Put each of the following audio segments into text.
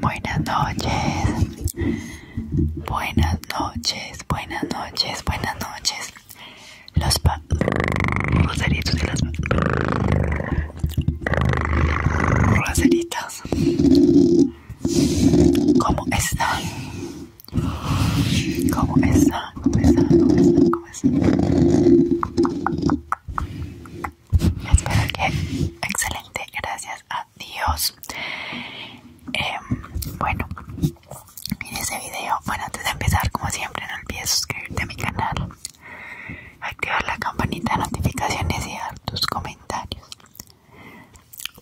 Buenas noches, buenas noches, buenas noches, buenas noches. Los pa rosaritos y las ¿Cómo están? ¿Cómo está? ¿Cómo está? ¿Cómo está? ¿Cómo está? Espero que excelente, gracias a Dios. Em, bueno, En este video. Bueno, antes de empezar, como siempre, no olvides suscribirte a mi canal, activar la campanita de notificaciones y dejar tus comentarios.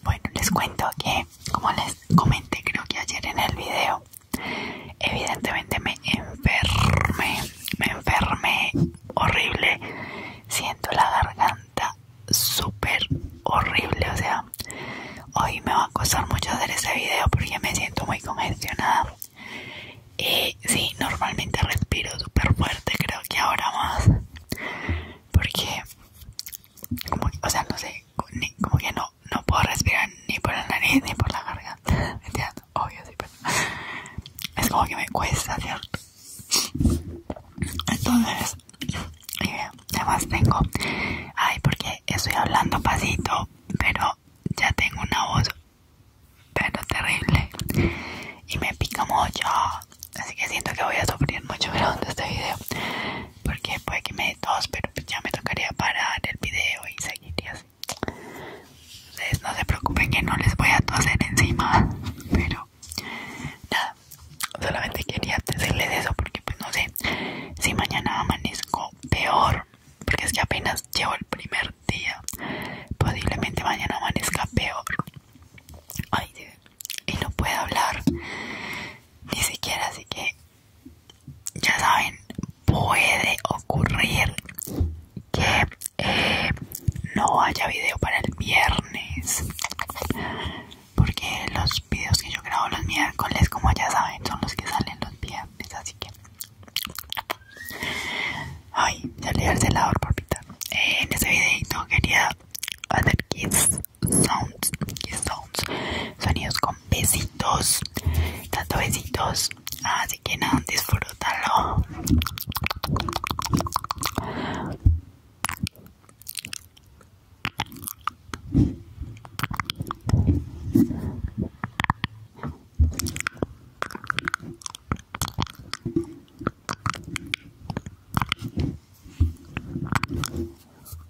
Bueno, les cuento que, como les comenté creo que ayer en el video, Evidentemente me enfermé, me enfermé horrible. Siento la garganta súper horrible, o sea, hoy me va a costar mucho hacer este video porque me siento muy congestionada. Y sí, normalmente respiro súper fuerte, creo que ahora más. Porque, como, o sea, no sé, como que no, no puedo respirar ni por la nariz ni por la garganta. Obvio, sí, pero es como que me cuesta, ¿cierto? Entonces, además tengo, ay, porque estoy hablando pasito, pero ya tengo una voz, pero terrible, y me pica mucho, así que siento que voy a sufrir mucho durante este video porque puede que me dé tos, pero pues, ya me tocaría parar el video y seguiría así. Entonces no se preocupen que no les voy a toser encima, pero nada, solamente quería decirles eso porque pues no sé si mañana amanezco peor, porque es que apenas llevo el primer día, posiblemente mañana amanezca peor. Ay, y no puedo hablar ni siquiera, así que ya saben, puede ocurrir que eh, no haya video para el viernes. Porque los videos que yo grabo los miércoles, como ya saben, son los que salen los viernes. Así que... Ay, al celador por pitar. Eh, en ese videito quería hacer kids sounds, sounds, sonidos besitos, tanto besitos, así ah, que nada, disfrútalo.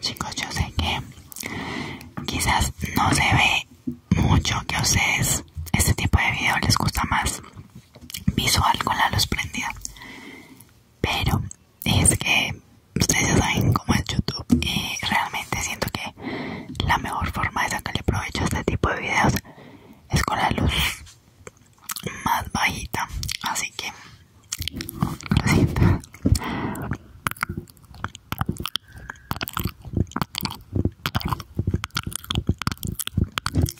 Chicos, yo sé que quizás no se ve mucho que a ustedes este tipo de video les gusta más visual con la luz prendida pero es que ustedes ya saben cómo es youtube y realmente siento que la mejor forma de sacarle provecho a este tipo de videos es con la luz más bajita así que lo siento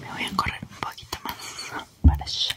Me voy a correr un poquito más para allá.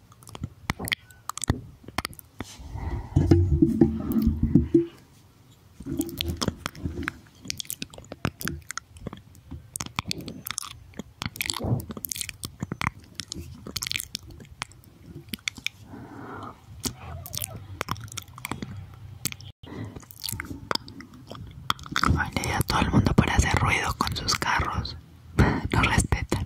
Vale, todo el mundo para hacer ruido con sus carros no respetan.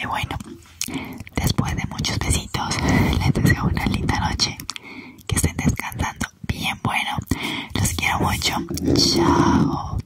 Y bueno, después de muchos besitos, les deseo una linda noche. Que estén descansando bien bueno. Los quiero mucho. Chao.